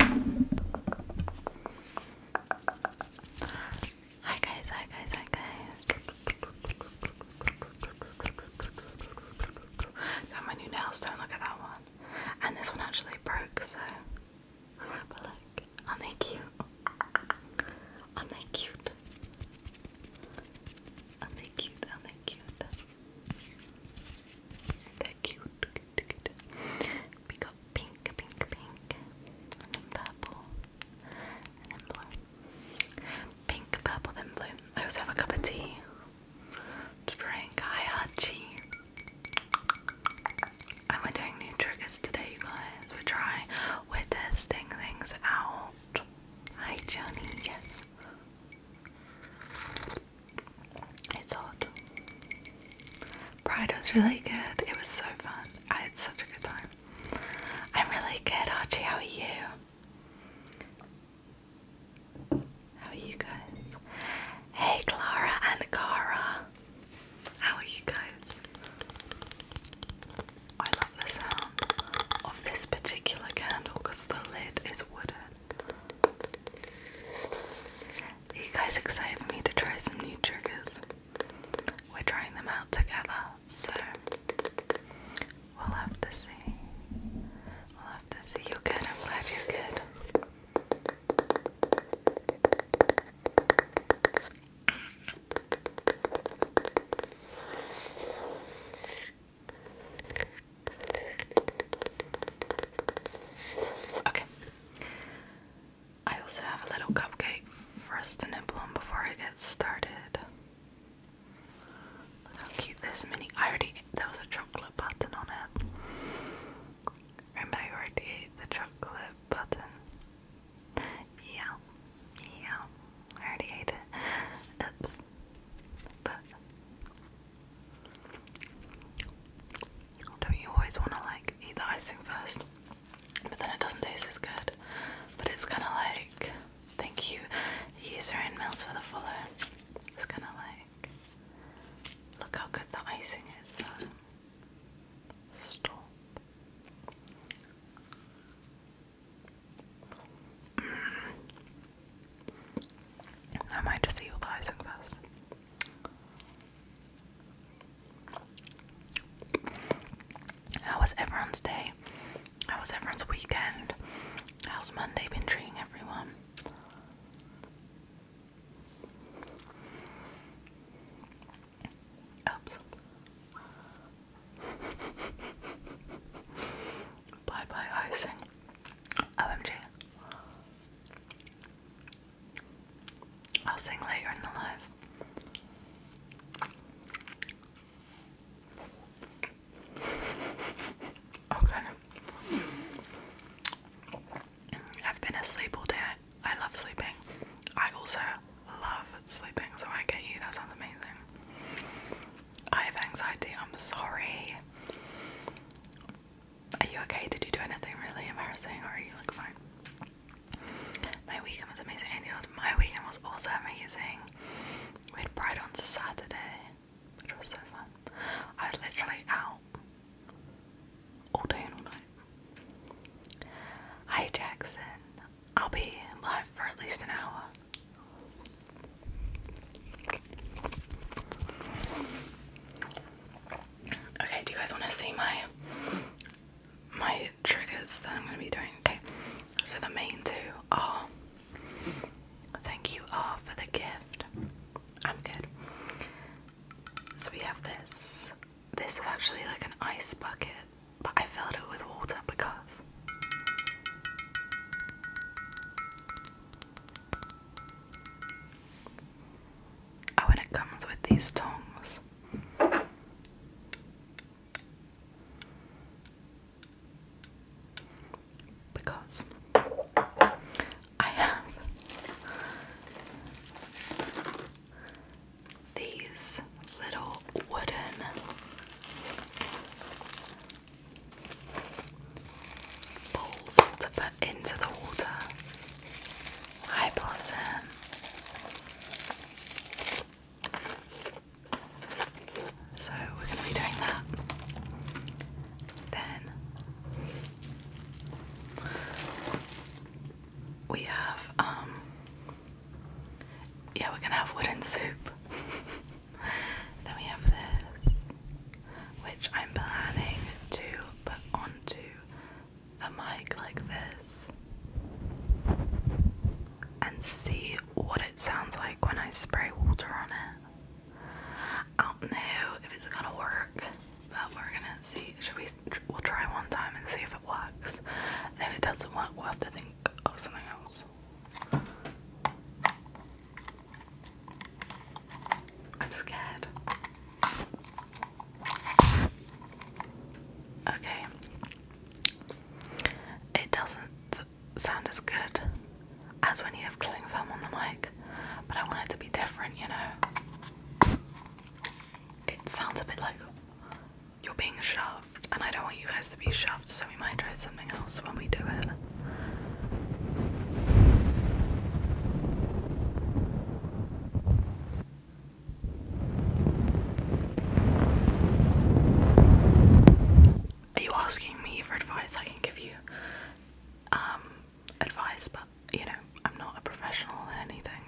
Hi guys, hi guys, hi guys. Got my new nails, don't look at that one. And this one actually broke, so but look, are they cute? are they cute? are they cute? are they cute? They're cute. We got pink, pink, pink, then purple, then blue. Pink, purple, then blue. I also have a cup of tea to drink. Hi, Archie. And we're doing new triggers today, you guys. We're trying, we're testing things out. Hi, Johnny. It's hot. Pride was really good. It was so fun. I had such a good time. I'm really good, Archie. How are you? How are you guys? Hey, Clara and Cara. How are you guys? I love the sound of this particular candle because the lid is wooden. Are you guys excited for me to try some new triggers? We're trying them out together, so we'll have to see. We'll have to see. You're good, I'm glad you're good. Okay. I also have a little cupcake first and to nibble before I get started. Look how cute this mini. I already ate, was a chocolate button on it. And I already ate the chocolate button. Yeah. Yeah. already ate it. Oops. But don't you always want to like eat the icing first? But then it doesn't taste as good. But it's kind of like, thank you, user and Mills for the follow. It's kind of like, look how good the icing is Stop. Mm. I might just eat the icing first. How was everyone's day? How was everyone's weekend? How's Monday been treating everyone? Oops. bye bye icing. OMG. I'll sing later in the live. Okay. I've been asleep all day. I love sleeping. I also love sleeping, so I get you. That sounds amazing. I have anxiety. I'm sorry. Are you okay? Did you do anything really embarrassing or are you looking fine? My weekend was amazing. And my weekend was also amazing. We had Pride on Saturday, which was so fun. I was literally out all day and all night. Hi Jackson. I'll be live for at least an hour. Okay, do you guys want to see my my triggers that I'm going to be doing? Okay, so the main two are thank you all for the gift. I'm good. So we have this. This is actually like an ice bucket, but I filled it with water because Oh, and it comes with these tongs. Because I have these little wooden bowls to put into the water. Hi, Blossom. So we're going to be doing that. Then we have, um, yeah, we're going to have wooden soup. then we have this which I'm planning to put onto the mic like this and see what it sounds like when I spray water on it. I don't know if it's gonna work, but we're gonna see. Should we? We'll try one time and see if it works. And if it doesn't work, we'll have to think of something else. I'm scared. Okay. It doesn't sound as good as when you have cling film on the mic, but I want it to be different, you know? It sounds a bit like you're being shoved, and I don't want you guys to be shoved, so we might try something else when we do it. Are you asking me for advice? I can give you um, advice, but you know, I'm not a professional anything,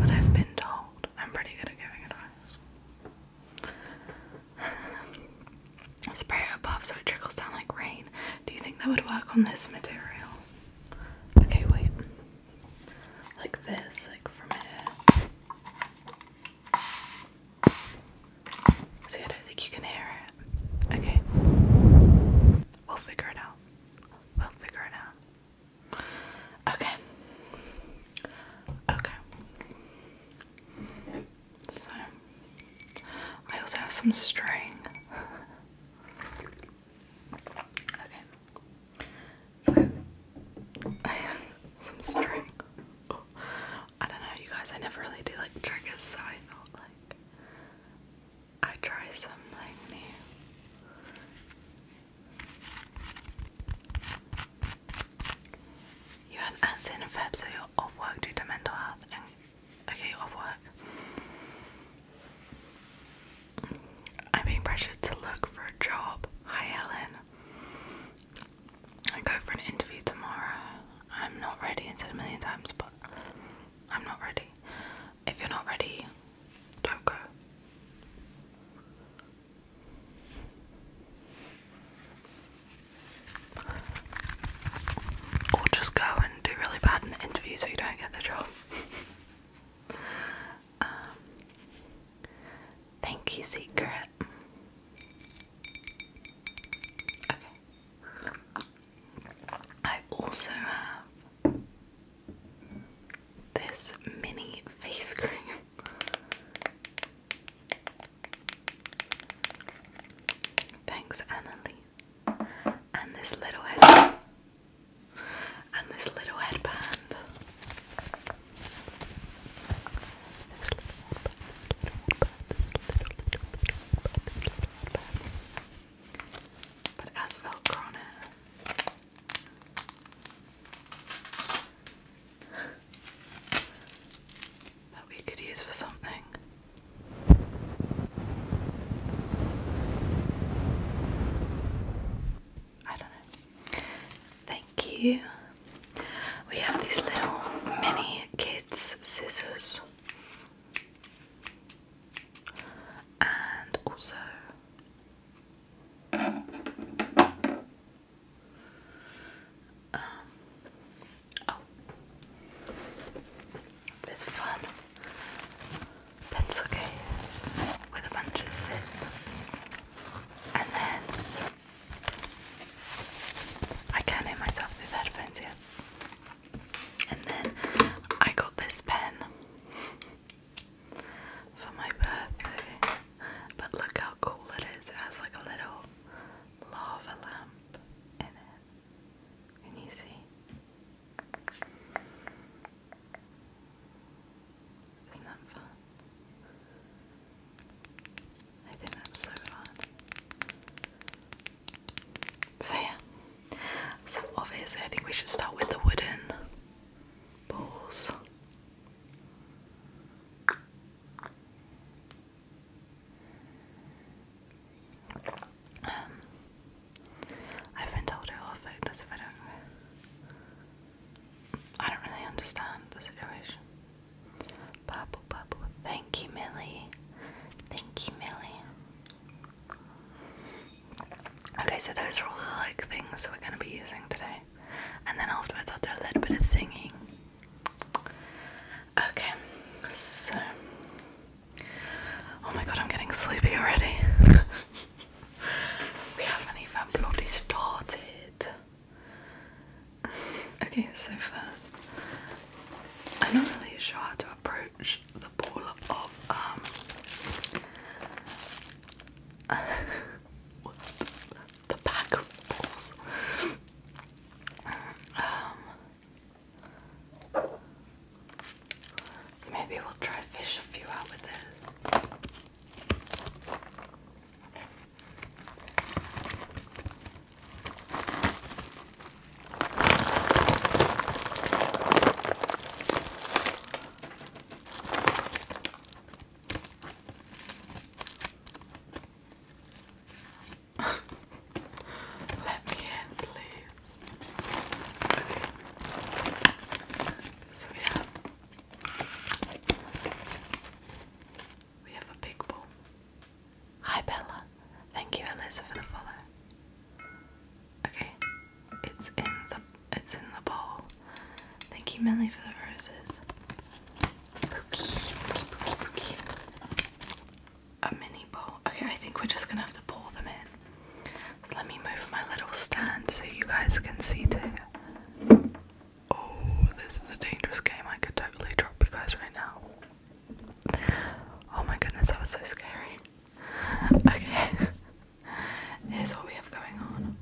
but I've been told I'm pretty good at giving advice. Spray it above so it trickles down like rain. Do you think that would work on this material? Okay, wait. Like this, like from here. See, I don't think you can hear it. Okay. We'll figure it out. We'll figure it out. Okay. Okay. So I also have some string. okay. some string. I don't know you guys, I never really do like triggers, so I thought like I try something new. You had as in so you're off work due to mental health Okay, off work. I'm being pressured to look for a job. Hi, Ellen. I go for an interview tomorrow. I'm not ready. I said a million times, but I'm not ready. If you're not ready, don't go. Or just go and do really bad in the interview so you don't get the job. Um, thank you, Secret. Okay. I also have this mini face cream. Thanks, Annalise and this little head and this little headband. but it has Velcro it. that we could use for something. I don't know. Thank you. We have these little mini kids' scissors and also um, Oh, this fun pencil case with a bunch of zip, and then I can myself through headphones, yes. And then I got this pen for my birthday. But look how cool it is. It has like a little lava lamp in it. Can you see? Isn't that fun? I think that's so fun. So yeah. So obviously I think we should start with the wooden balls. Um, I've been told I will fight this if I don't. I don't really understand the situation. Bubble, bubble. Thank you, Millie. Thank you, Millie. Okay, so those are all the like things we're gonna be using today, and then afterwards I'll do a little bit of singing. Okay, so Oh my god, I'm getting sleepy already. we haven't even bloody started. okay, so first, I'm not really sure how to approach the ball of, um, the, pack of balls. Um, so maybe we'll try fish a few out with this. Let me in, please. Okay. So we have we have a big ball. Hi Bella. Thank you, Alyssa, for the follow. Okay. It's in the it's in the bowl. Thank you, Millie, for the roses a mini bowl. Okay, I think we're just gonna have to pour them in. So let me move my little stand so you guys can see too. Oh, this is a dangerous game. I could totally drop you guys right now. Oh my goodness, that was so scary. Okay, here's what we have going on.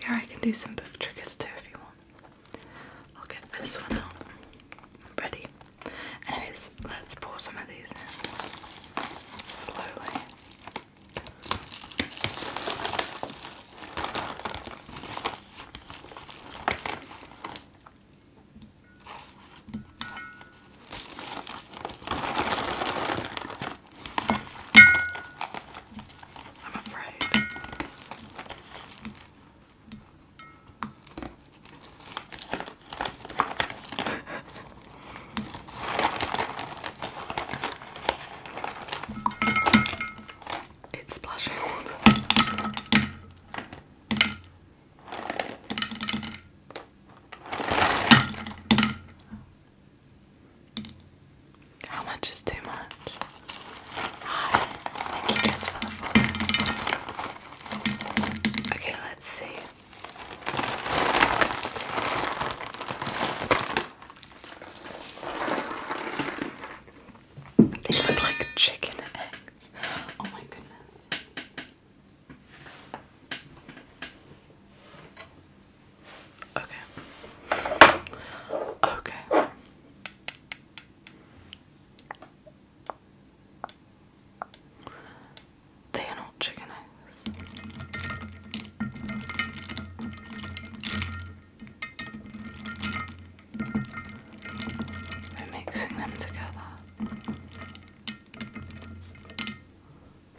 Yeah, I can do some book tricks too if you want. I'll get this one out. I'm ready. Anyways, let's pour some of these slowly. I'm afraid. it's splashing water. How much is too much? Hi, thank you just for the follow. Okay, let's see. They look like chicken eggs. Oh my goodness. Okay. Okay. They are not chicken eggs. We're mixing them together.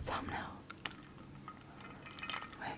Thumbnail. Wait.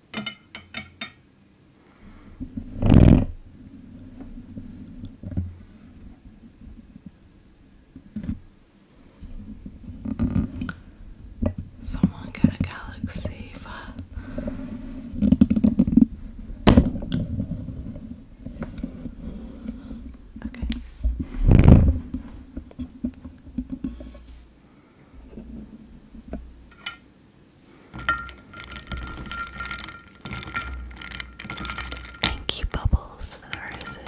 Someone get a galaxy Okay. Thank you, Bubbles, for the roses.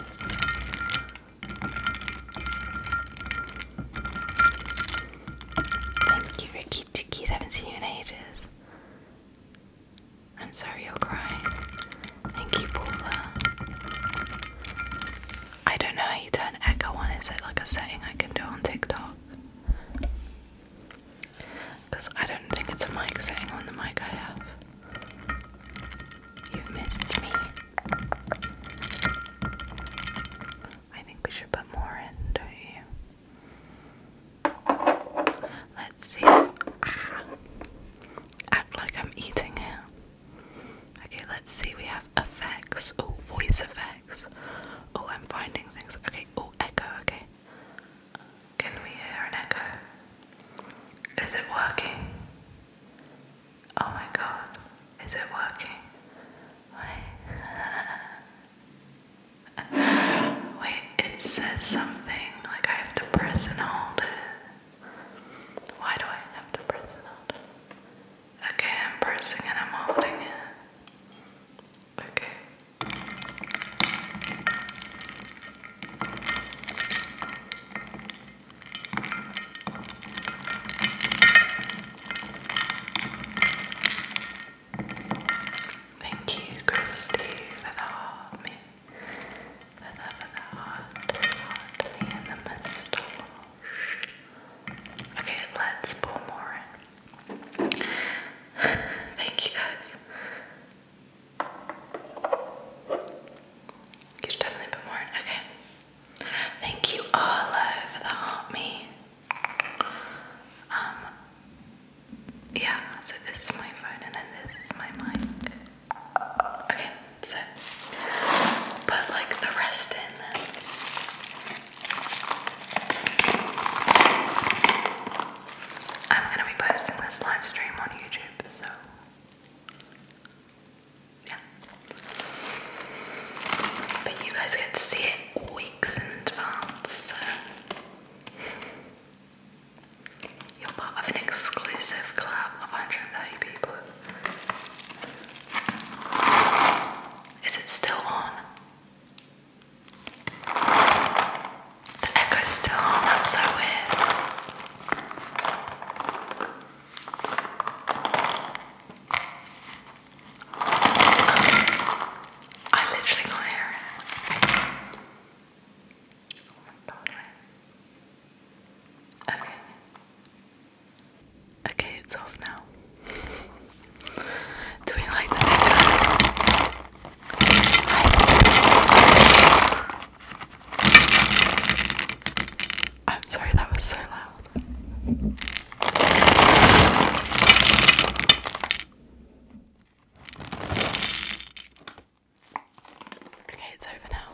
Thank you, Ricky Tickies. Haven't seen you in ages. I'm sorry you're crying. Thank you, Paula. I don't know how you turn echo on. Is it like a setting I can do on TikTok? Because I don't think it's a mic setting on the mic I have. you missed me. I think we should put more in, don't you? Let's see act like I'm eating it. Okay, let's see. We have effects. Oh, voice effects. Oh, I'm finding things. Okay, oh, echo, okay. Can we hear an echo? Is it working? Oh my god, is it working? Wait. wait, it says something, like I have to press and hold it. Why do I have to press and hold it? Okay, I'm pressing and I'm holding it. Okay. Thank you, Christy, for the heart, for the, for the heart, heart, and the moustache. Okay, let's pour more in. Thank you guys. You should definitely put more in. Okay. Thank you all for the haunt me. Um yeah, so this is my phone and then this is my mic. Okay, so put like the rest in I'm going to be posting this live stream on YouTube, so yeah. But you guys get to see it weeks in advance, so you're part of an exclusive club of 130 people. Is it still on? The echo's still on, so weird. Um, I literally can't hear it. Okay. Okay, it's off now. Do we like the neckline? I'm sorry, that was so loud. Okay, it's over now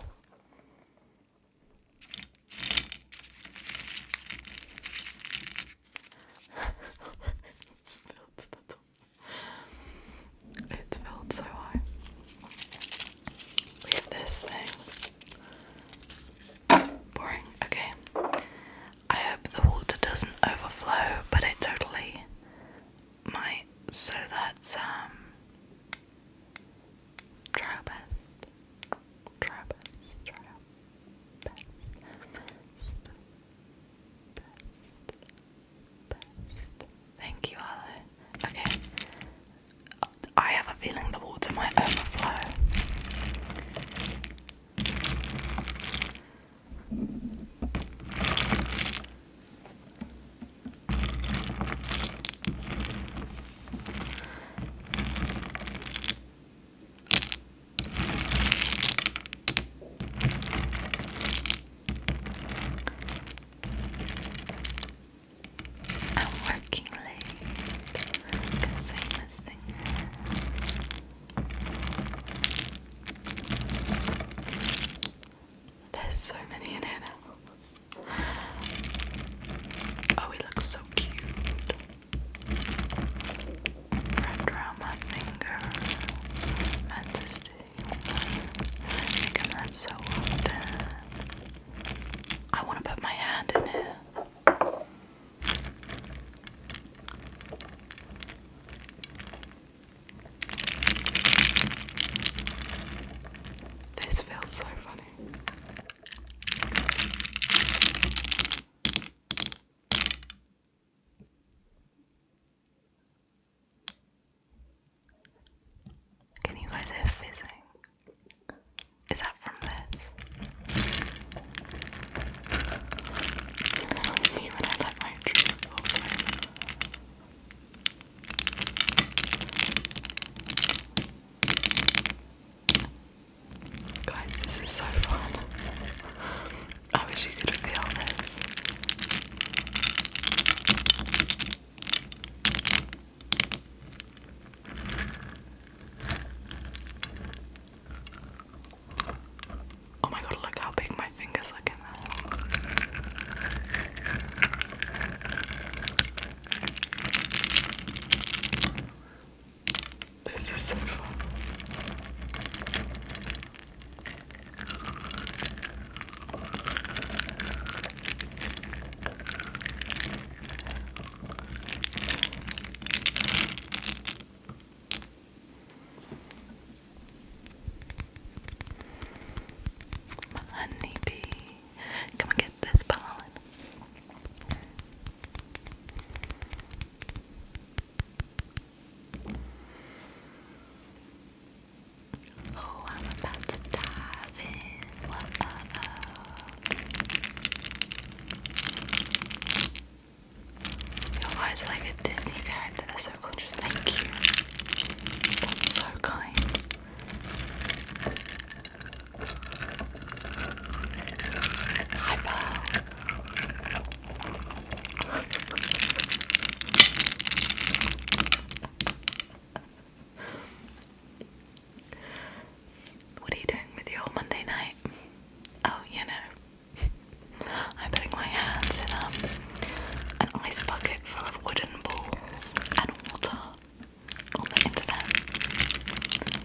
it's filled so high. We this thing. Boring. Okay. I hope the water doesn't overflow, but it totally might. So that's um. Try best. Try best. Try best. Thank you, Okay. I have a feeling the water might overflow. I'm working late because I'm a singer. There's so many in it. Oh, he looks so cute. Wrapped around my finger. Meant to stay. Making so often. I want to put my hand in it. This feels so funny. Can you guys hear fizzing? Is that from this? Me when I let my trees go Guys, this is so fun. I wish you could feel this. Oh my god, look how big my fingers look in that. This is so honeybee, come get this pollen. Oh, I'm about to dive in. What uh Your eyes like a Disney character. They're so gorgeous. Thank you. That's so kind. Hi, Pearl. What are you doing with your Monday night? Oh, you know, I'm putting my hands in um, an ice bucket full of wooden balls and water on the internet.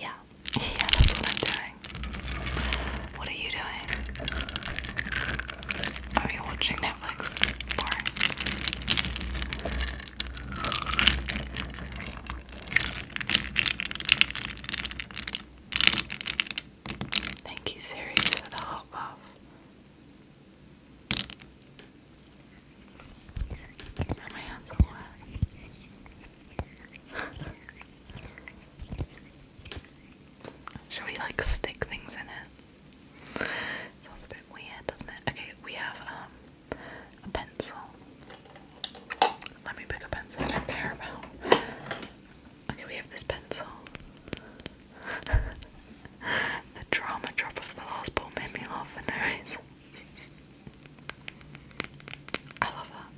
Yeah. Yeah, that's what I'm doing. What are you doing? Are oh, you watching Netflix. Boring. Thank you, Series, for the hot buff. Are my hands on Should we like stick things in it? Sounds a bit weird, doesn't it? Okay, we have um a pencil. Let me pick a pencil I don't care about. Okay, we have this pencil. the drama drop of the last ball made me laugh for no reason. I love that.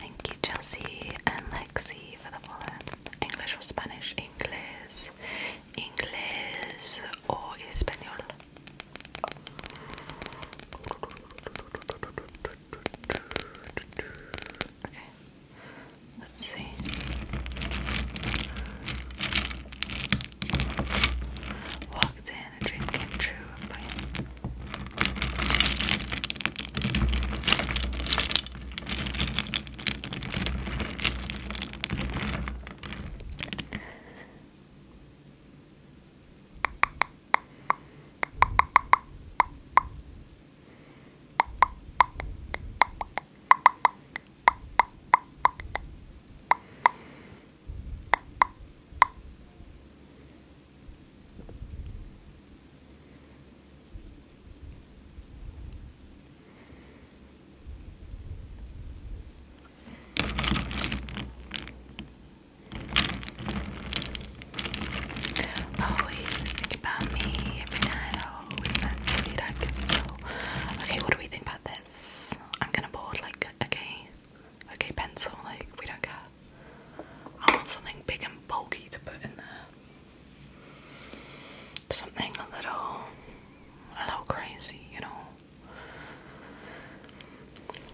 Thank you, Chelsea and Lexi, for the following: English or Spanish? English, English, or Español? Okay. Let's see. Walked in and a dream came true Always thinking about me every night. I always that's sweet. I get so. Okay, what do we think about this? I'm gonna board like okay, okay pencil. Like we don't care. I want something big and bulky to put in there. Something a little, a little crazy, you know.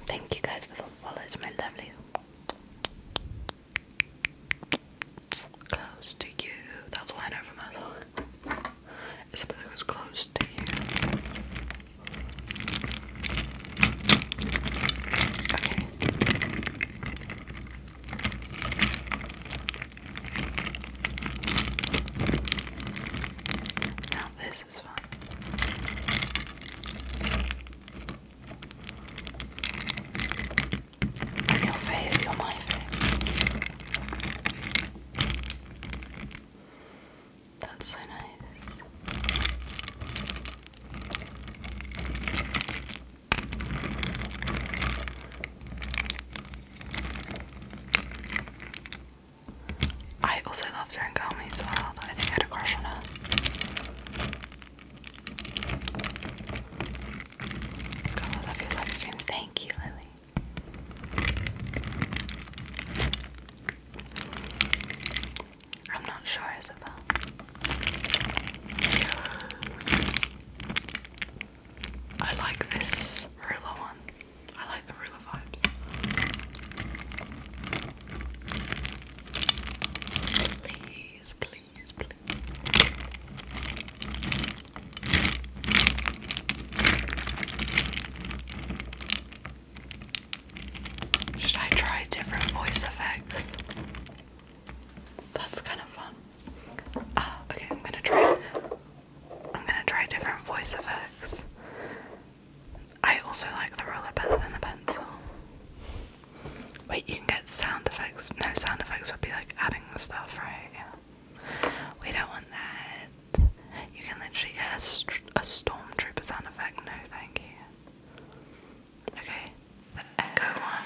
Thank you guys for the follows, my lovely. Close to you. That's all I know from that It's a bit that close to you. Okay. Now this is fun. I'm your fave, you're my fave. That's so nice. I also love her in Calmy as well. I think I had a crush on her. I love your live streams. Thank you, Lily. I'm not sure, Isabel. I like this ruler one. I like the ruler vibes. Please, please, please. Should I try different voice effects? That's kind of fun. Uh, okay, I'm gonna try. I'm gonna try different voice effects. I also like the roller better than the pencil. Wait, you can get sound effects. No, sound effects would be like adding stuff, right? Yeah. We don't want that. You can literally get a, a stormtrooper sound effect. No, thank you. Okay the Echo one.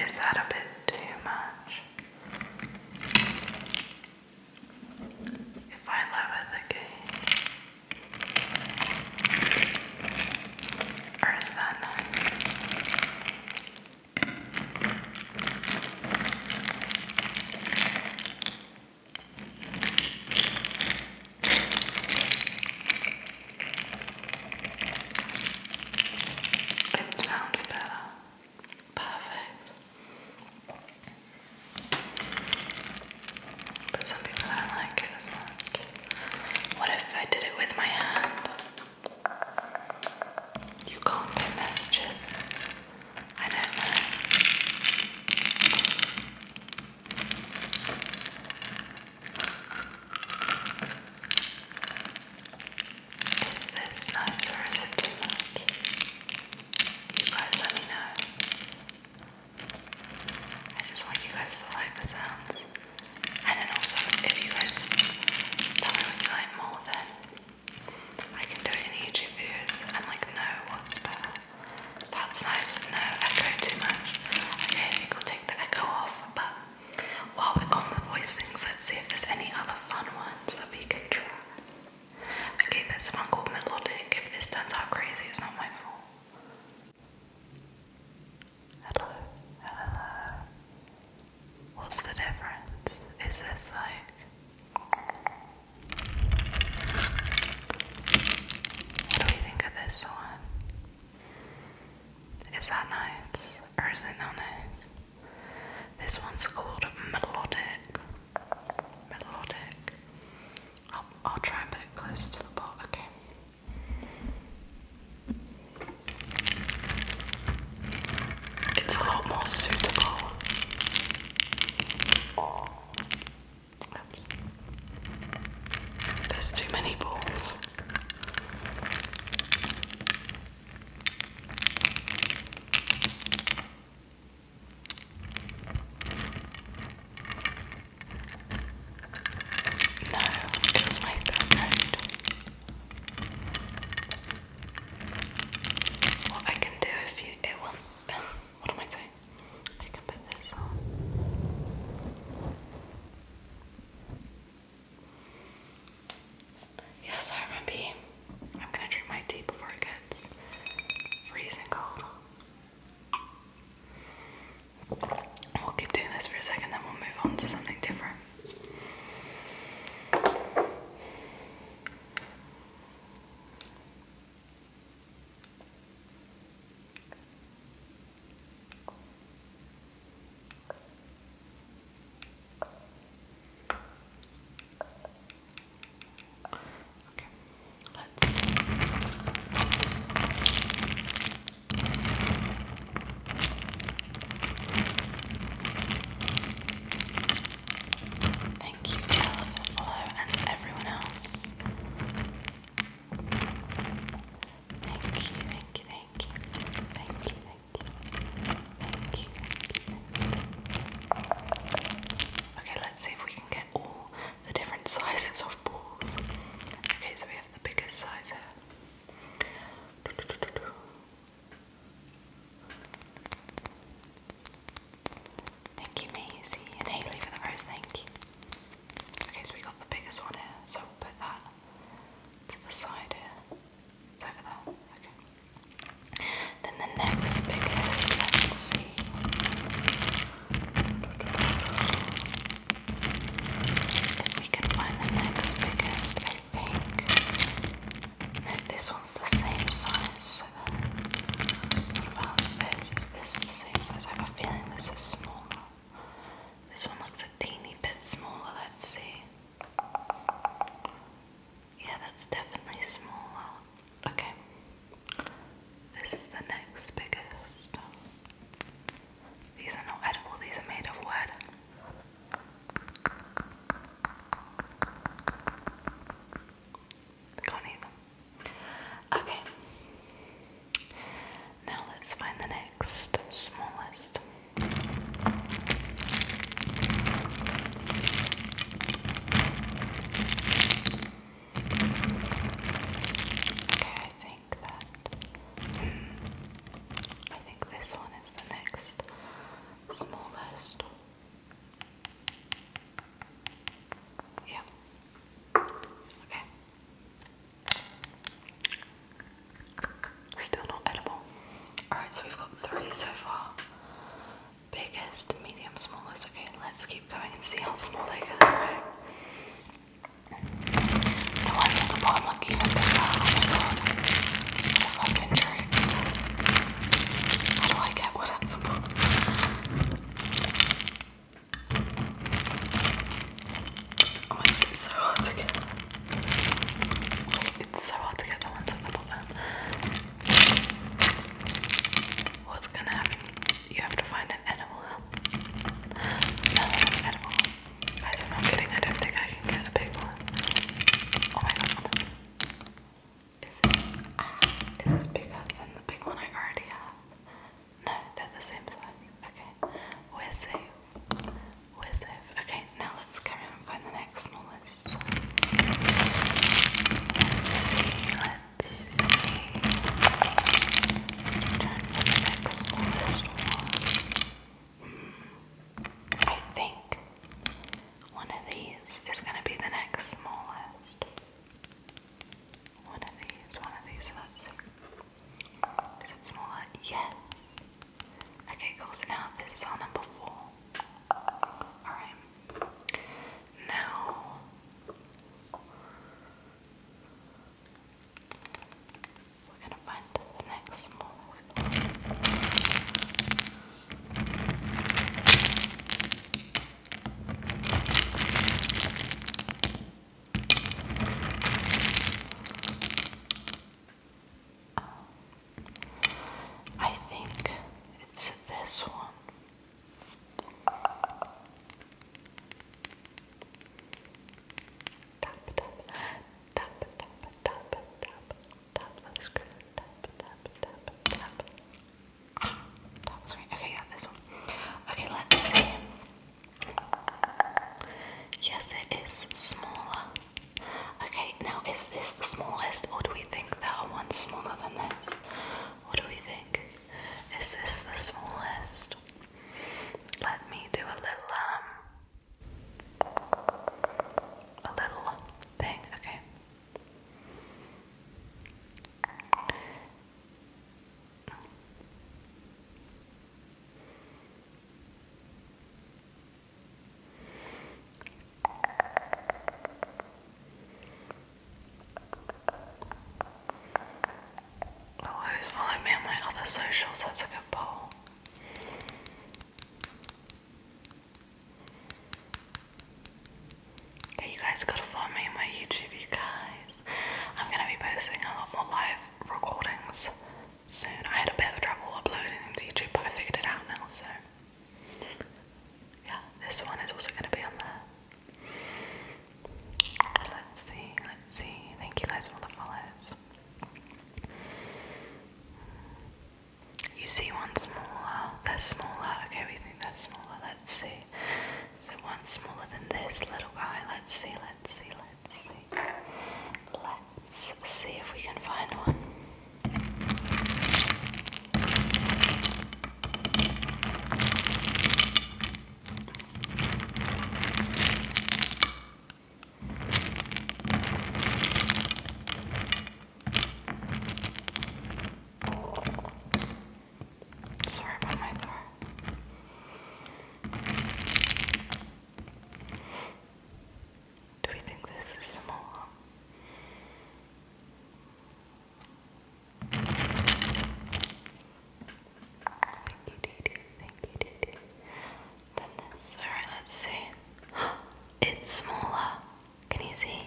Is that a bit too much? If I lower the gauge, or is that not? It sounds better. Perfect. But some people don't like it as What if I did it with my hand? You can't put messages. I don't know. Is this nice or is it too much? You guys let me know. I just want you guys to like the sounds. And then also, if you guys tell me what you like more, then I can do it in YouTube videos and like know what's better. That's nice, no echo too much. Okay, I think we'll take the echo off, but while we're on the voice things, let's see if there's any other fun ones that we can try. Okay, there's one called Melodic. If this turns out crazy, it's not my fault. Hello, hello. What's the difference? Is this like. What do we think of this one? Is that nice? Or is it this one's called Melodic. Melodic. I'll, try and put it closer to the pot, okay? It's a lot more suitable. There's too many balls. No, just make that road. What I can do if you it what am I saying? I can put this on. Yes, I remember. I'm gonna drink my tea before it gets freezing cold. We'll keep doing this for a second, then we'll move on to something different. Okay, let's Thank you, Bella, for and everyone else. thank you, thank you, thank you, thank you. Okay, let's see if we can get all the different sizes of balls. Okay, so we have the biggest size here. Thank you, Maisie and Haley for the rose. Thank you. Okay, so we got the biggest one here, so we'll put that to the side here. Then the next biggest, let's see. If we can find the next biggest, I think. No, this one's the same size. about this? Is the same size? I have a feeling this is smaller. This one looks a teeny bit smaller, let's see. Yeah, that's definitely smaller. Okay. This is the next biggest. These are not edible, these are made of wood. can't eat them. Okay. Now let's find the next smallest. Okay, I think that I think this one is the next smallest. Yeah. Okay. Still not edible. Alright, so we've got three so far. Biggest, medium, smallest. Okay, let's keep going and see how small they get. The ones at the bottom look even bigger. Oh my god. If I've been How do I get what at the bottom? Oh my god, it's so hard to get. It's so hard to get the ones at the bottom. What's gonna happen? You have to find an edible No, an Guys, I'm kidding, I don't think I can get a big one. Oh my god. Ah, is this bigger than the big one I already have? No, they're the same size. Okay, we're safe with it. Okay, now let's go on and find the next smallest. see, let's see. Try and the next smallest one. I think one of these is going to be the next smallest. One of these, one of these, let's see. Is it smaller? Yes. Okay, cool. So now this is our number four. Alright. Now. We're gonna find the next one. I think it's this one. Tap tap tap tap tap tap tap the screen. Tap tap tap tap. Ah, screen. Okay, yeah, this one. Okay, let's see. Yes, it is smaller. Okay, now is this the smallest, or do we think there are ones smaller than this? What do we think? Is this the smallest? Let me do a little, um, a little thing, okay? Oh, who's following me on my other socials? That's a good poll. Okay, you guys gotta follow me on my YouTube, guys. I'm gonna be posting a lot more live recordings soon. I had a bit of trouble uploading them to YouTube, but I figured it out now, so yeah, this one is also going to be on there. Let's see, let's see. Thank you guys for all the follows. You see one smaller, That's smaller. Okay, we think that's smaller. Let's see. So one smaller than this little guy. Let's see, let's see, let's see. Let's Let's see if we can find one. Sorry about my throat. Do we think this is small? Thank you, Dee Thank you, Dee Dee. this. Alright, let's see. It's smaller. Can you see?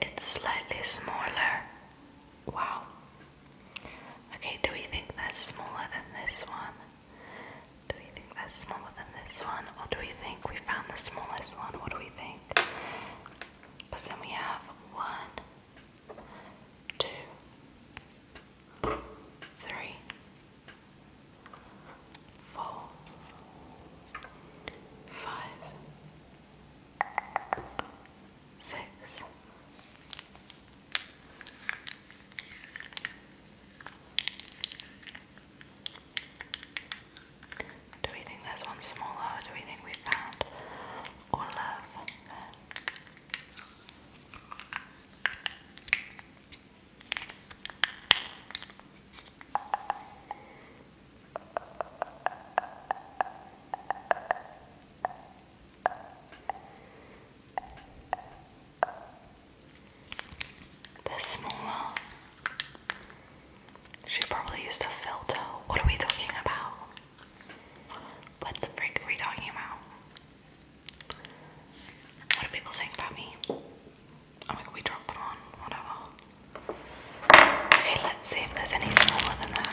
It's slightly smaller. Wow. Okay, do we think that's smaller than this one? Do we think that's smaller than this one? Or do we think we found the smallest one? What do we think? Because then we have one, two, three, four, five, six. Do we think there's one smaller or do we think we found all of them? The smaller. Uh, she probably used a filter. What are we talking about? What the frick are we talking about? What are people saying about me? Oh my god, we dropped it on, whatever. Okay, let's see if there's any smaller than that.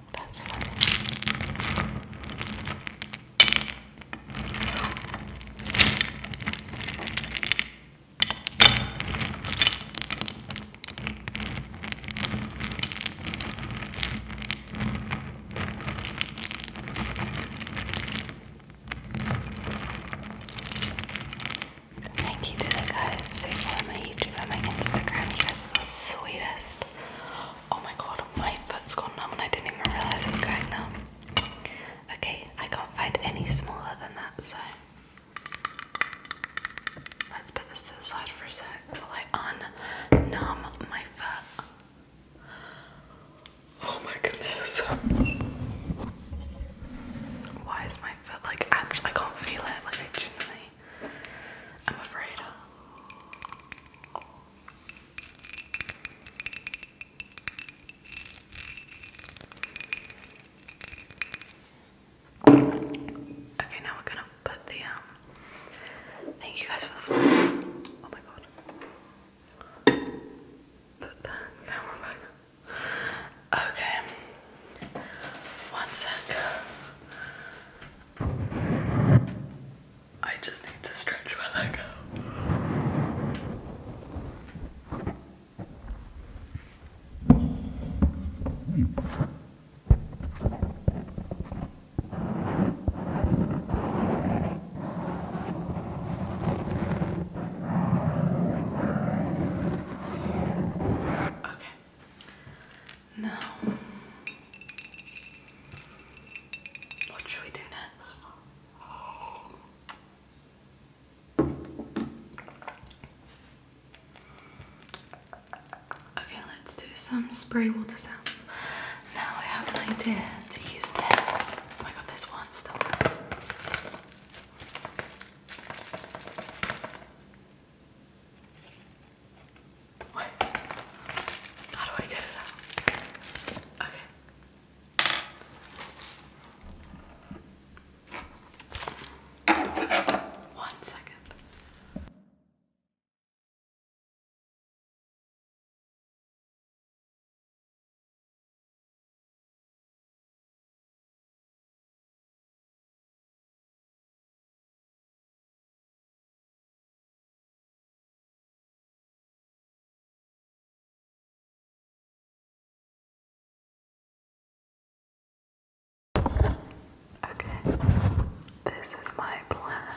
That's funny. Thank you to the guys who follow my YouTube and my Instagram. You guys the sweetest. Oh my god, my foot's gone numb and I didn't even realise it going numb. Okay, I can't find any smaller than that, so let's put this to the side for a sec while I unnumb my foot. Oh my goodness. Why is my foot like actually I can't feel it like I genuinely I'm afraid. Okay, now we're gonna put the um, Thank you guys for the Oh my god. Put the camera back. Okay. One sec. I just need to stretch my leg out. Okay. No. What should we do next? Okay, let's do some spray water sounds. Now I have an idea to use this. Oh my god, this one still. Wait. How do I get it out? Okay. One second. Okay, this is my plan.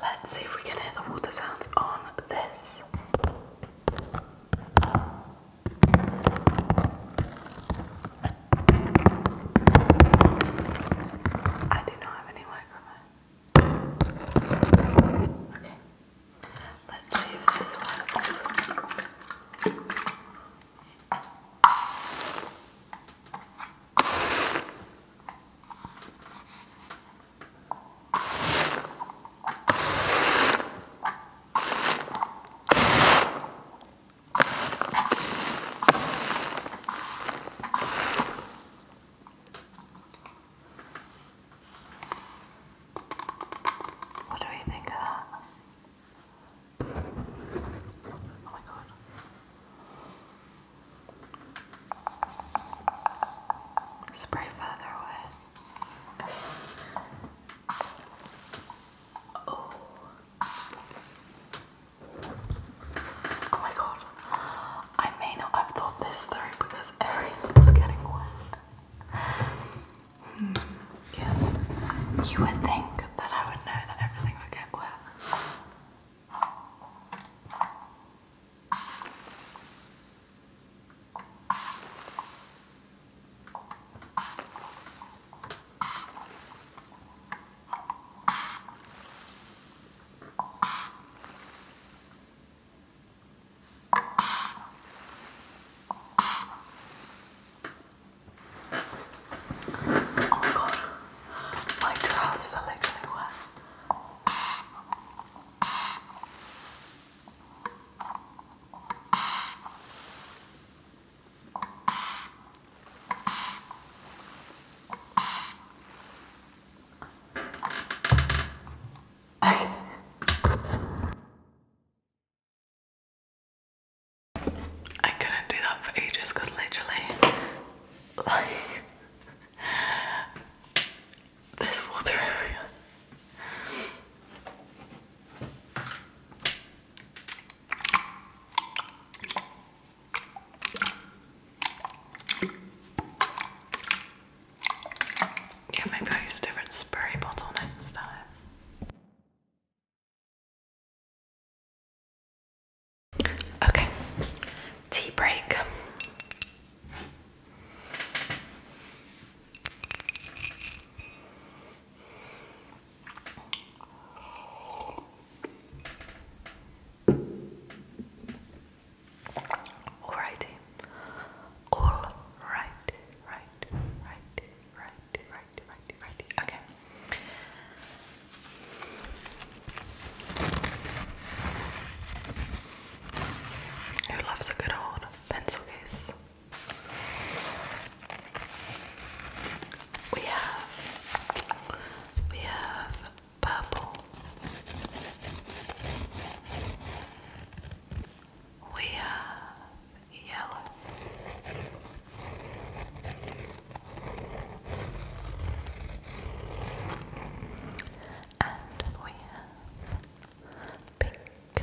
Let's see if we can hear the water sounds on this. I do not have any microphone. Okay. Let's see if this works. What do we think of that? Oh my god. Spray further away. Oh. Oh my god. I may not have thought this through because everything's getting wet. Hmm. Yes. You would think that I would know that everything would get wet. Oh god, my trousers are literally wet. I couldn't do that for ages because literally, like, there's water everywhere. Yeah, maybe I'll use a different spray bottle next time. Okay, tea break. Alrighty. All right, right, right, right, right, right, right. Okay. Who loves a good old pencil case? We have we have purple. We have yellow. And we have pink.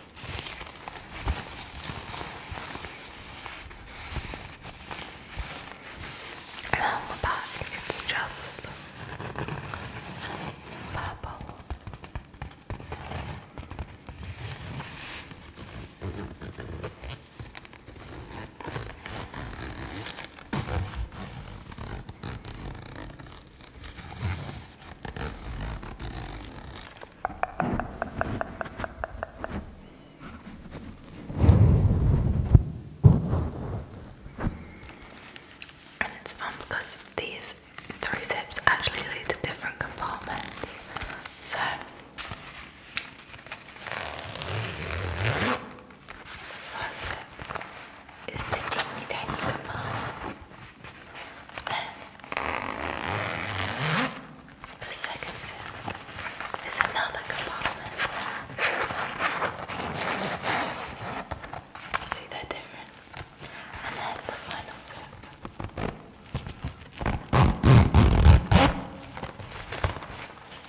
And on the back, it's just purple. And it's fun because these three zips actually lead to different compartments. So First zip is this teeny tiny compartment. The second sound is another compartment. See, they're different. And then the final sound.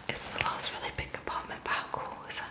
It's the last really big compartment, but how cool is that?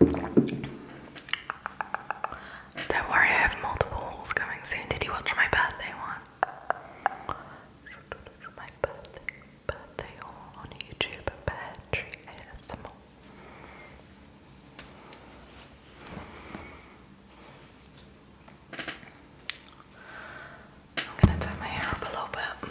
Don't worry, I have multiple hauls coming soon. Did you watch my birthday one? My birthday, haul on YouTube at Bear Tree ASMR. I'm gonna tie my hair up a little bit.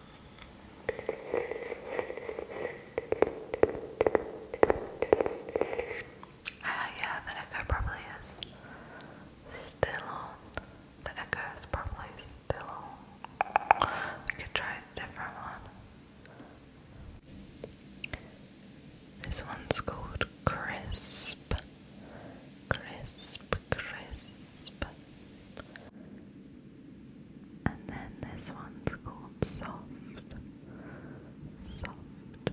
Ah, yeah, the echo probably is still on. The echo is probably still on. We could try a different one. This one's called Crisp. Crisp crisp. And then this one's called soft, soft,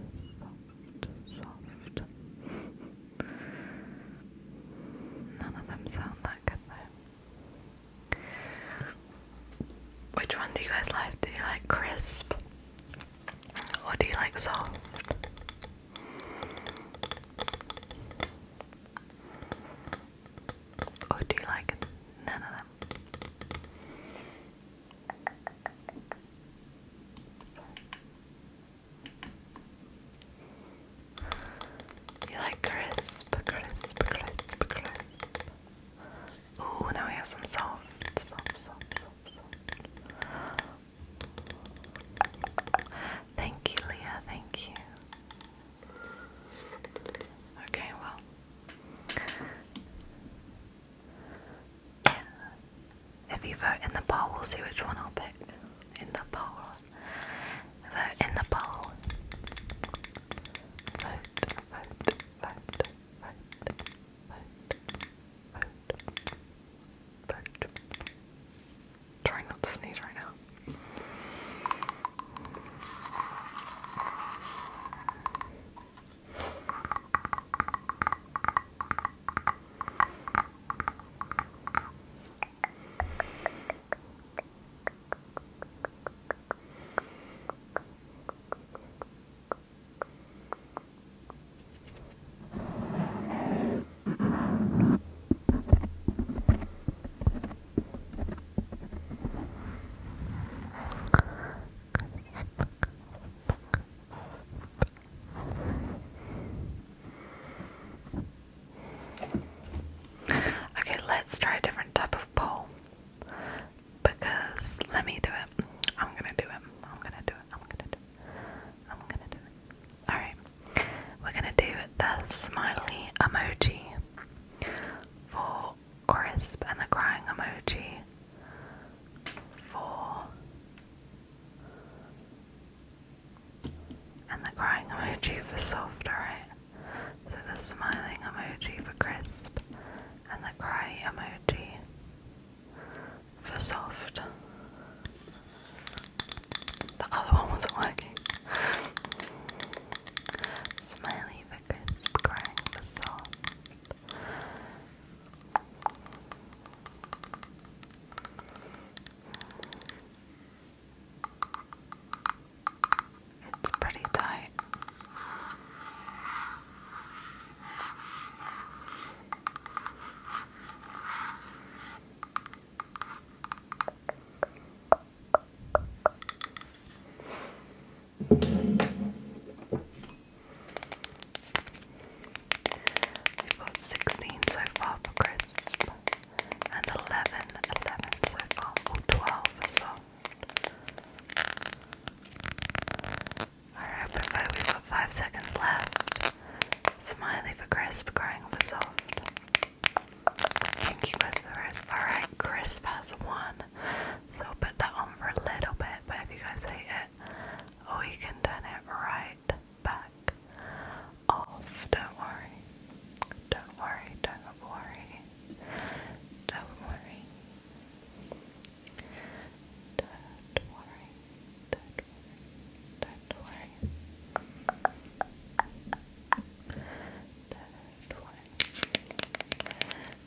soft, soft. None of them sound that good though. Which one do you guys like? Do you like crisp? Or do you like soft? Or do you like none of them? You like crisp, crisp, crisp, crisp. Ooh, now we have some soft, Thank you, Leah. Thank you. Okay, well, yeah. if you vote in the poll, we'll see which one I'll pick. In the poll, vote in the poll. Vote, vote, vote, vote, vote, vote, vote. Trying not to sneeze right now. Okay, let's try a different type of poll. Because let me do it. I'm gonna do it. I'm gonna do it. I'm gonna do it. I'm gonna do it. Alright. We're gonna do the smiley emoji for crisp and the crying emoji for and the crying emoji for soft, alright? So the smiling emoji for crisp and the cry emoji for soft. The other one wasn't working. Smiley for crisp, crying for soft. It's pretty tight. We've got 16 so far for crisp and 11, so far, for soft. Alright, Bravo, we've got 5 seconds left. Smiley for crisp, crying for soft. Thank you guys for the rest. Alright, Chris has won, So put that on for a little bit, but if you guys hate it, we oh, can turn it right back off. Don't worry. Don't worry. Don't worry. Don't worry. Don't worry. Don't worry. Don't worry.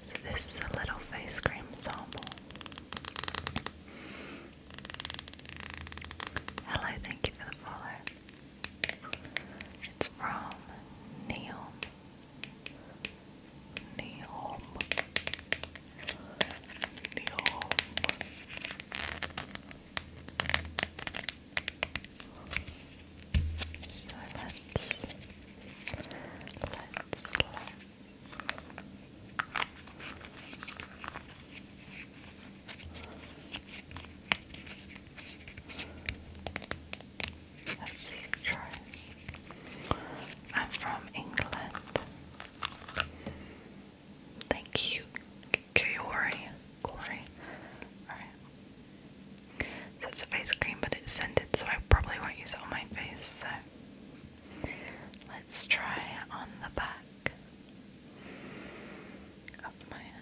So this is a little face cream sample. Hello, thank you for the follow. It's from Neil. Neil. Neil let us let us let us try. I'm from England. Thank you, Kiori. Corey. Alright. So it's a face cream, but it's scented, so I probably won't use it on my face. So let's try on the back of my hand.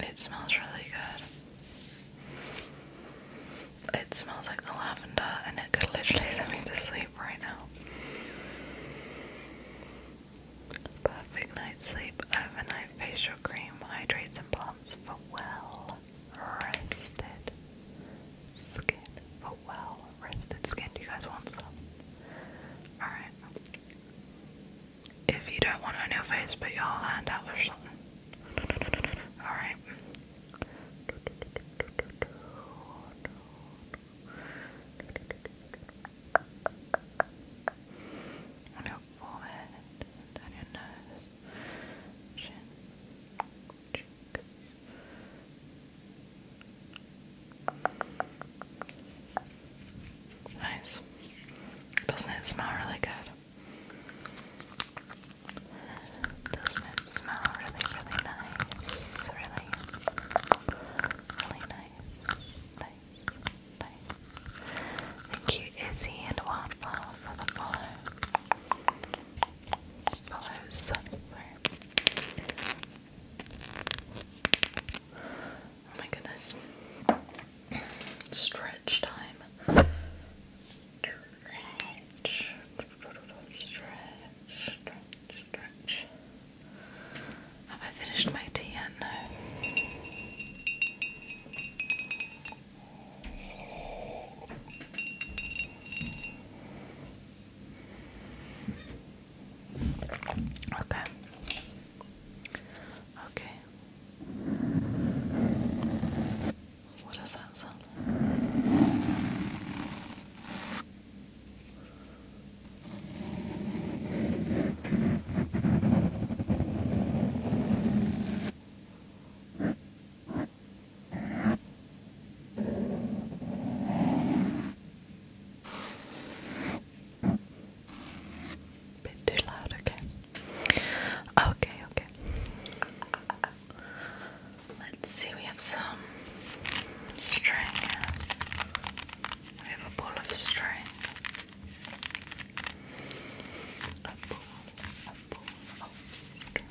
It smells really good. It smells like the lavender, and it could literally send me to sleep right now. Perfect night's sleep, overnight facial cream hydrates and plumps for well rested skin. For well rested skin. you guys want some? Alright if you don't want on your face, put your hand out or something. Alright. On your forehead, down your nose, chin, cheeks. Nice. Doesn't it smell really good? Doesn't it smell really, really nice? Really, really nice. Nice, nice. Thank you, Izzy and Waffle, for the follow. Follows. Oh my goodness. Stretch time. Stretch. Stretch. Stretch. Stretch. Have I finished my tea yet? No. Okay. Okay. What does that sound like? Bit too loud, okay. Okay, okay. Let's see, we have some string. We have a ball of string. A ball, a ball of string.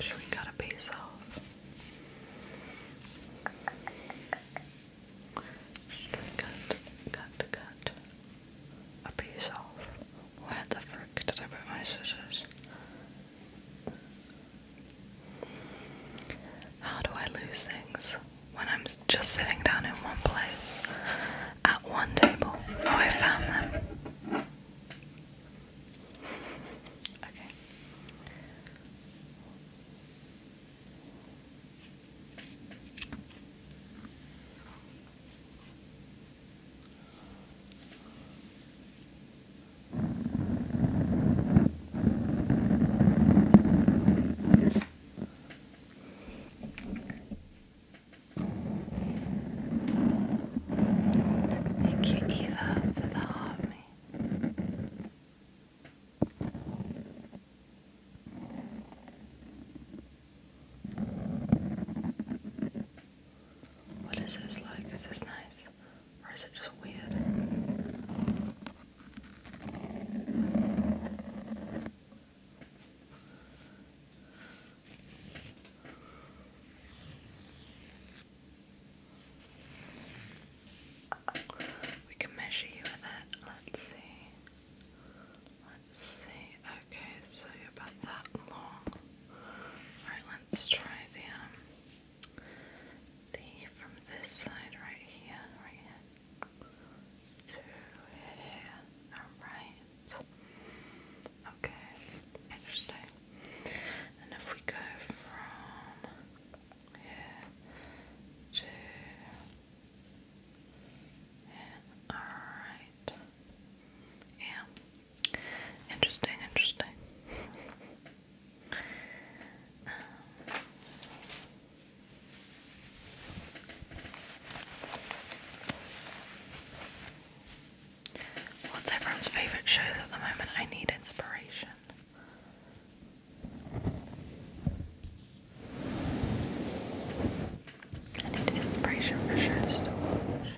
Sure, we got a piece off. Cut, cut, cut a piece off. Where the frick did I put my scissors? How do I lose things when I'm just sitting down in one place at one table? Oh, I found them. Okay. Thank you, Eva, for the harmony. What is this like? Is this nice? Or is it just weird? We can measure you with it. Let's see. Let's see. Okay, so you're about that long. Right, let's try the um the from this side right here, right To here. Alright. Okay. Interesting. And if we go from here to all right. Yeah. Interesting, interesting. Um. What's everyone's favorite shows at the moment? I need inspiration. I need inspiration for sure to watch.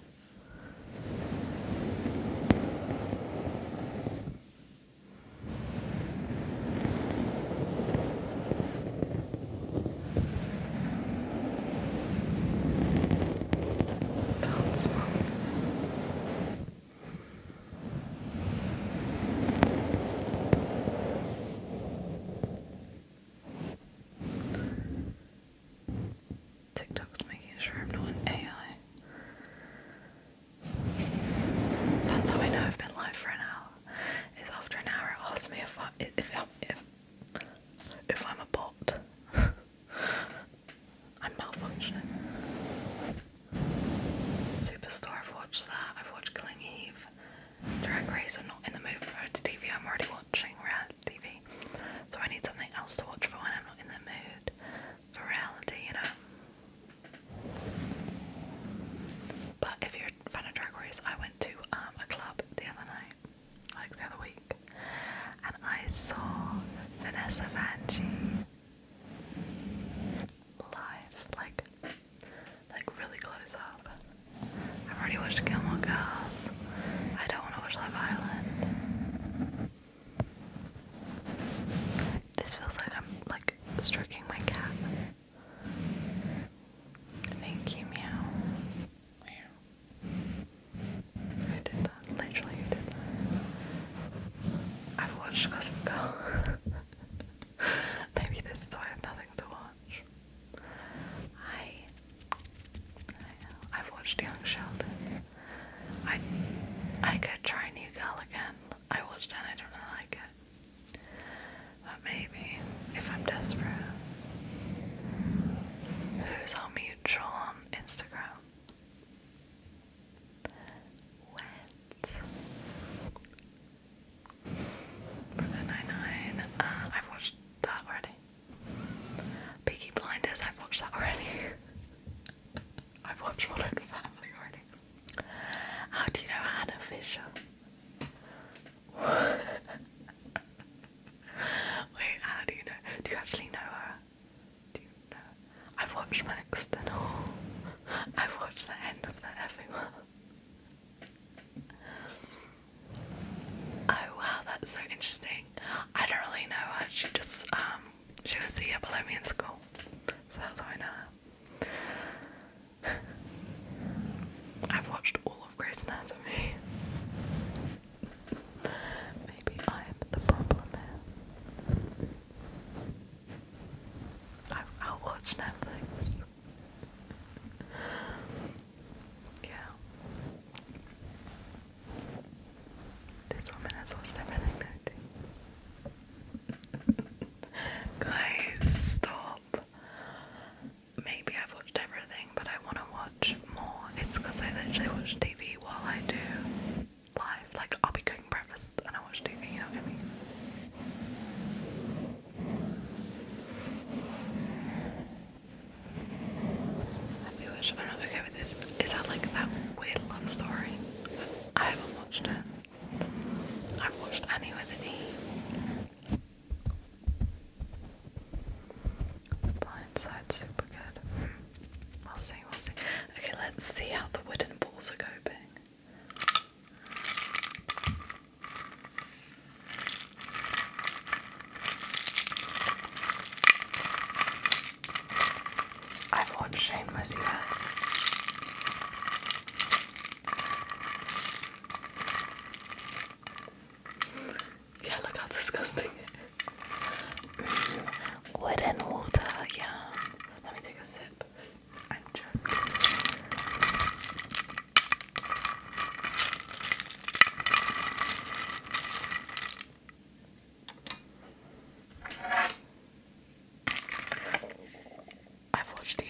TikTok's making sure I'm not an AI. That's how I know I've been live for an hour. It's after an hour it asks me if I if if if, I'm a bot. I'm malfunctioning. Superstore, I've watched that. I've watched Killing Eve. Drag Race. I'm not in the mood for reality TV. I'm already watching reality TV. So I need something else to watch for when I'm not in the mood for reality, you know. But if you're a fan of Drag Race, I went to um, a club the other night, like the other week, and I saw Vanessa Vanjie live, like like really close up. I've already watched of Girls. I don't want to watch Love Island. This feels like I'm like stroking my cat. Thank you, meow. Meow. Who did that? Literally, who did that? I've watched Gossip Girl. Maybe this is why I have nothing to watch. I, I have watched Young Sheldon. I I could try New Girl again. I watched it and I don't really like it. But maybe if I'm desperate. Who's our mutual on Instagram? Brooklyn Nine-Nine. Uh, I've watched that already. Peaky Blinders, I've watched that already. I've watched Modern Family already. How do you know Hannah Fisher? Wait, how do you know? Do you actually know her? Do you know? I've watched Max Denall. I've watched the end of that everyone. Oh wow, that's so interesting. I don't really know her. She just um she was the year below in school, so that's how I know her. I've watched all of Grey's Anatomy. Maybe I'm the problem I, I'll Netflix. Yeah. This woman has watched everything, Guys, stop. Maybe I've watched everything, but I want to watch more. It's because I literally watch TV while I do live. Like, I'll be cooking breakfast and I watch TV, you know what I mean? I feel like I'm not okay with this. Is that like that weird love story? I haven't watched it. I've watched Annie with an The blind side, super good. Hmm. We'll see, we'll see. Okay, let's see how the wooden balls are coping. I've watched Shane Messy Ass. Yeah, look how disgusting wood and water, yeah. Let me take a sip. I'm joking. I watched you.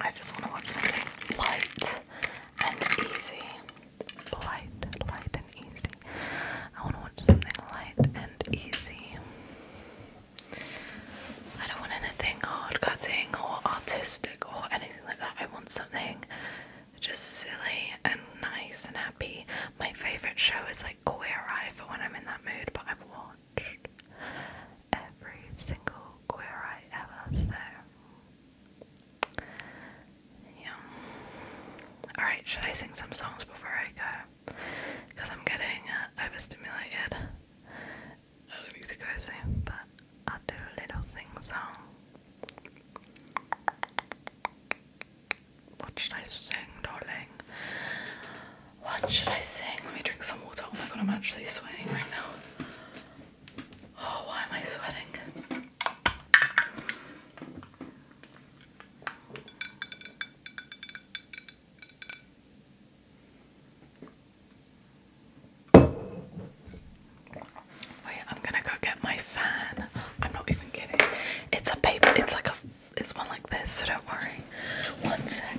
I just want to watch something light and easy. Light, light and easy. I want to watch something light and easy. I don't want anything hard cutting or artistic or anything like that. I want something just silly and nice and happy. My favourite show is like Queer Eye for when I'm in that mood, but I've watched every single Queer Eye ever, yeah. Alright, should I sing some songs before I go? Because I'm getting uh, overstimulated. I don't need to go soon, but I'll do a little sing song. What should I sing, darling? What should I sing? Let me drink some water. Oh my god, I'm actually sweating right now. Oh, why am I sweating? Wait, I'm gonna go get my fan. I'm not even kidding. It's a paper, it's like a, it's one like this, so don't worry. One sec.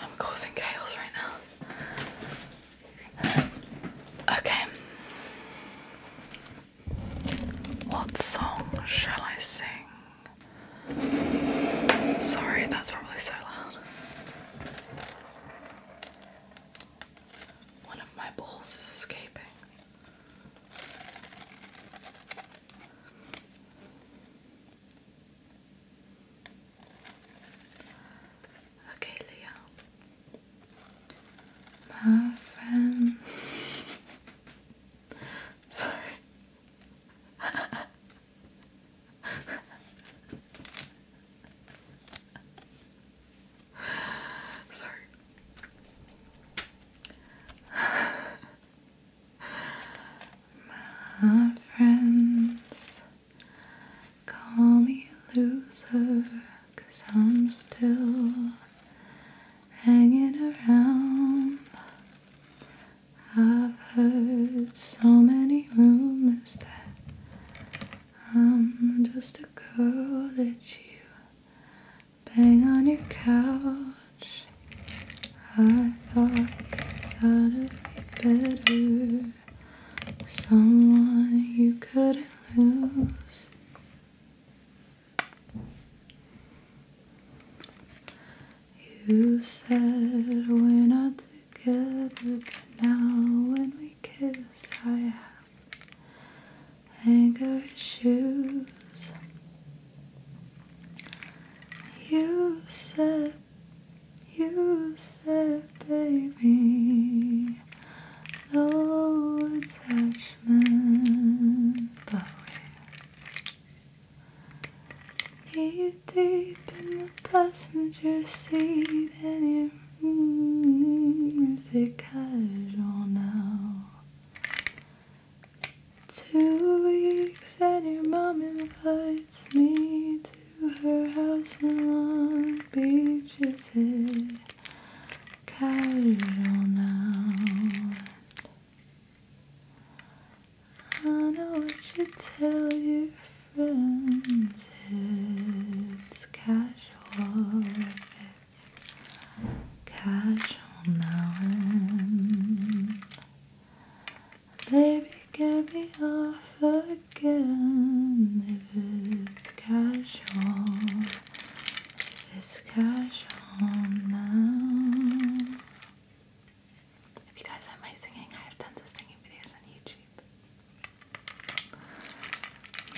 I'm causing chaos right now. Okay. What song shall I sing? Sorry, that's probably so loud. One of my balls is escaping. Okay, Leah. My friend. Sorry. My friends call me loser, cause I'm still hanging around. I've heard so many rumors that I'm just a girl that you bang on your couch. I thought you thought it'd be better, someone you couldn't lose. You said we're not together, but now when we kiss, I have anger issues. You said, you said, baby, no attachment, but we need deep in the passenger seat, and your music casual now. Two weeks, and your mom invites me to her house in Long Beach. Is it casual now? I know what you tell your difference. It's casual, it's casual now and baby, get me off again. If it's casual, it's casual now. If you guys like my singing, I have tons of singing videos on YouTube.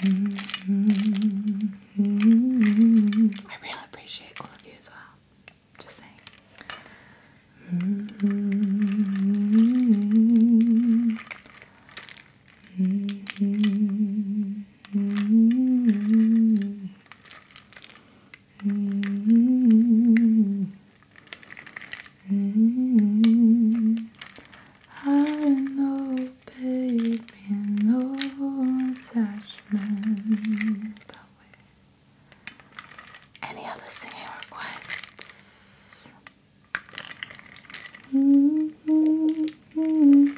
Mm-hmm. I really appreciate all of you as well. Just saying. Mm-hmm. Mm-hmm. I know, baby, no attachment. Any other singing requests? Mm-hmm. Mm-hmm.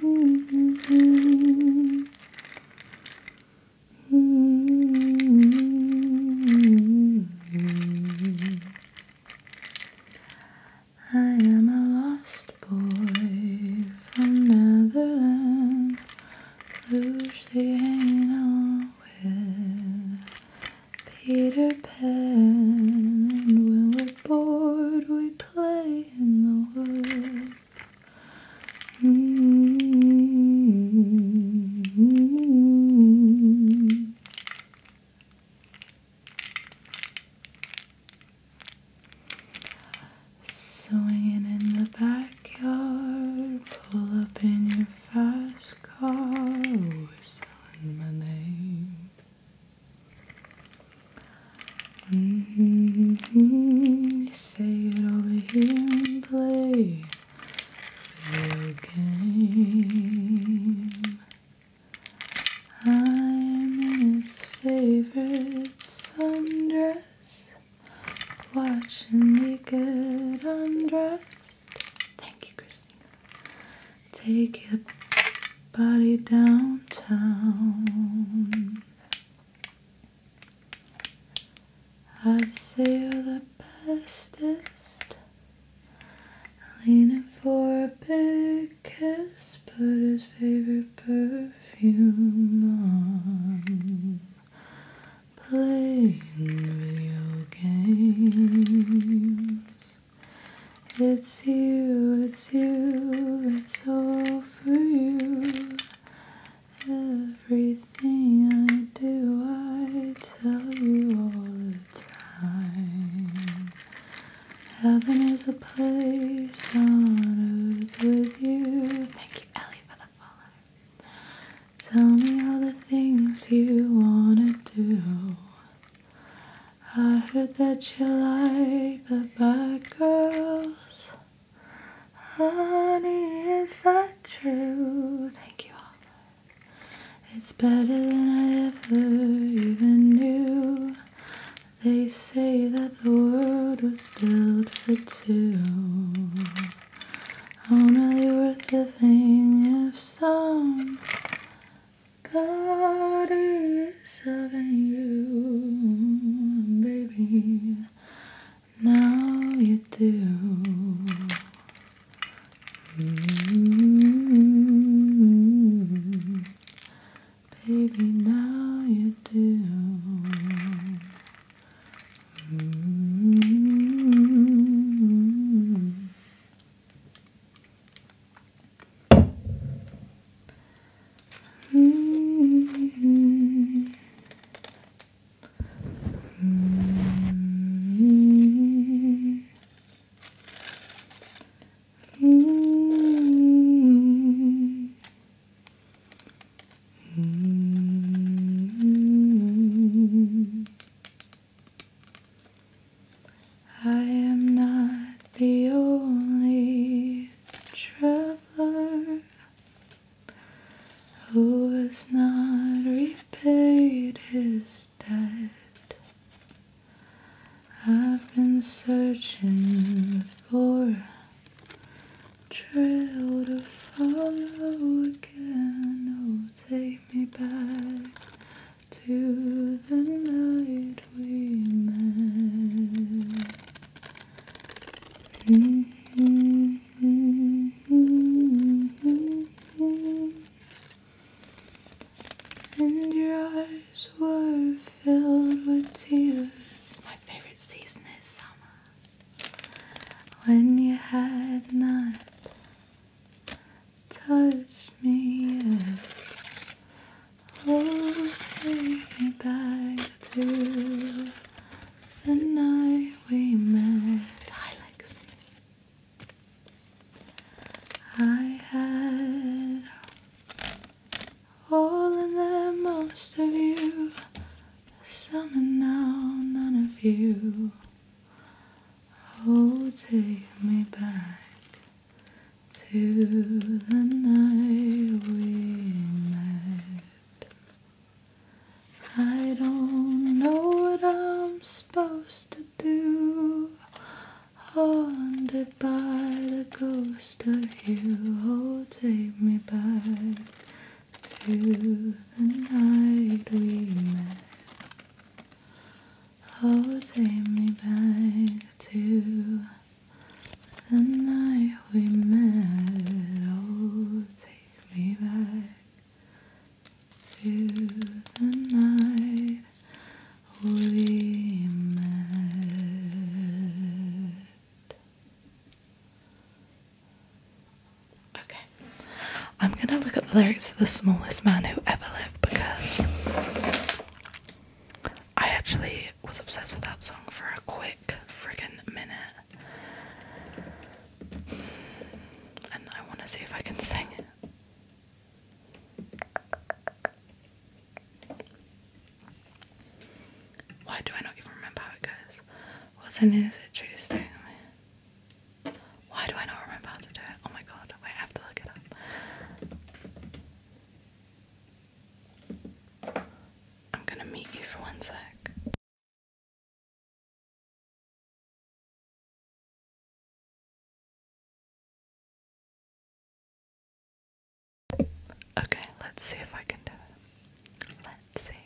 I am a lost boy from Netherland Lucy ain't on with Peter Pan And when we're bored we play in the woods mm-hmm. Swinging in the backyard, pull up in your fast car, whistling my name. Mm hmm You say it over here and play video game. I'm in his favorite sundress, watching me get undressed. Thank you, Christina. Take your body downtown. I say you're the bestest. Leaning for a big kiss, but his favorite perfume on. Playing video games. It's you, it's you, it's all for you. Everything I do, I tell you all Heaven is a place on earth with you. Thank you, Ellie, for the follow. Tell me all the things you wanna do. I heard that you like the bad girls. Honey, is that true? Thank you all. It's better than I ever even knew. They say that the world was built for two. Only worth living if some god is loving you, baby. Now you do baby, now you do. I am not the only traveler who has not repaid his debt. I've been searching for a trail to follow again. Oh, take me back to the night we met. Mm-hmm and your eyes were filled with tears. My favorite season is summer when you had not touched me yet. Oh, take me back to the night we met. I I had all and then most of you, some and now none of you. Oh, take me back to the night we met. I don't know what I'm supposed to do. Haunted by the ghost of you, oh, take me back to the night we met. Oh, take me back to the night we met. Oh, take me back through the night, we Okay, I'm gonna look at the lyrics of The Smallest Man Who Ever Lived because I actually was obsessed with that song for a quick friggin' minute. And I want to see if I can sing it. Why do I not even remember how it goes? What's in is it true statement? Why do I not remember how to do it? Oh my god, wait, I have to look it up. I'm gonna meet you for one sec. Okay, let's see if I can do it. Let's see.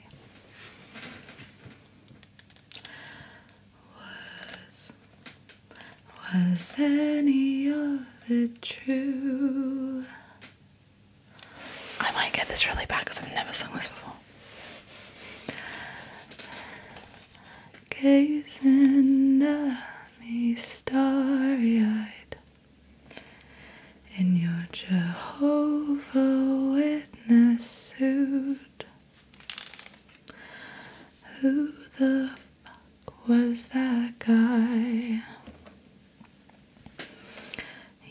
Was was any of it true? I might get this really bad because I've never sung this before gazing at me starry eyed. In your Jehovah Witness suit, who the fuck was that guy?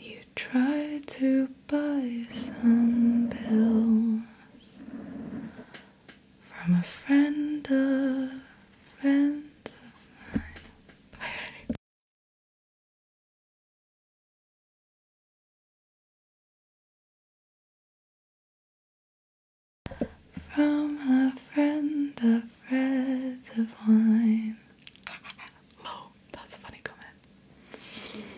You tried to buy some pills, from a friend of friends of mine. From a friend of friends of mine. Low, that's a funny comment.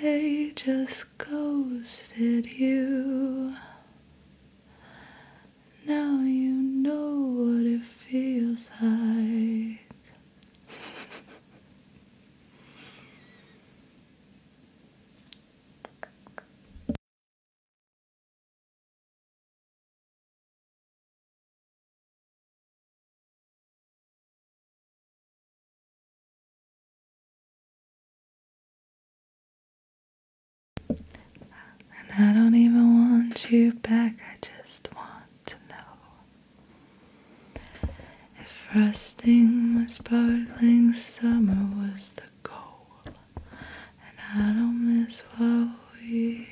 They just just ghosted you. Now you know what it feels like. And I don't even want you back, I just want to know if frosting my sparkling summer was the goal, and I don't miss what we.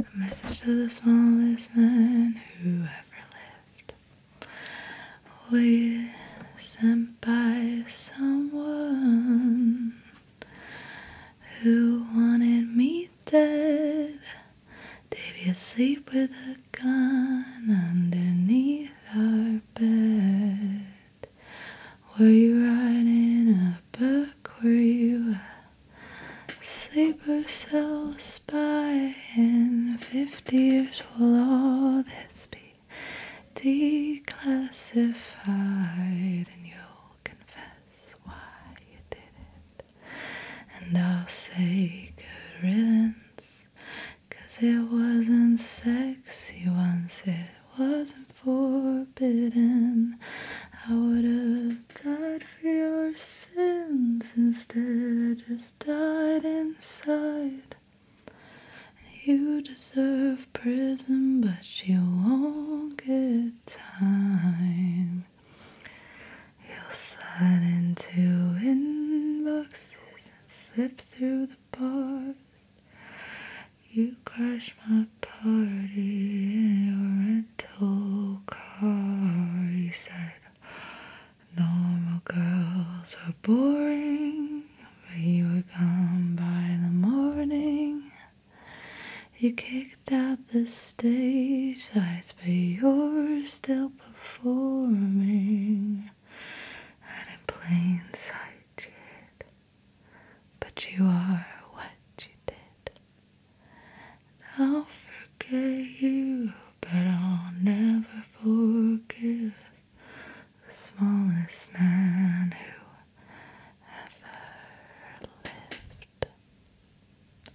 A message to the smallest man who ever lived. We're sent by someone who wanted me dead. Did you sleep with a gun underneath our bed? Were you writing a book? Were you a sleeper cell spy? In fifty years will all this be declassified, and you'll confess why you did it. And I'll say good riddance, cause it wasn't sexy once, it wasn't forbidden. I would've died for your sins instead, I just died inside. You deserve prison, but you won't get time. You'll slide into inboxes and slip through the bars. You crash my party in your rental car. You said Normal girls are boring, but you were gone by the morning. You kicked out the stage lights, but you're still performing. And in plain sight, kid. But you are what you did. I'll forget you, but I'll never forgive the smallest man who ever lived.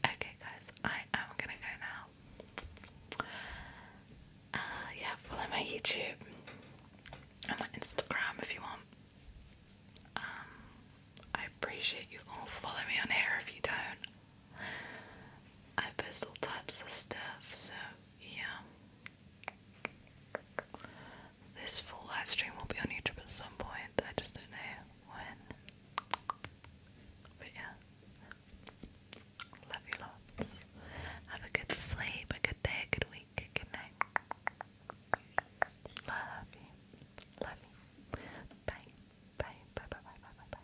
Okay, guys, I am gonna go now. Uh, yeah, follow my YouTube and my Instagram if you want. Um, I appreciate you all. Follow me on here if you don't. I post all types of stuff, so yeah. This full live stream will be on YouTube at some point. I just don't know when. But yeah. Love you lots. Have a good sleep, a good day, a good week, good night. Love you. Love you. Bye. Bye. Bye. Bye. Bye. Bye. Bye. bye.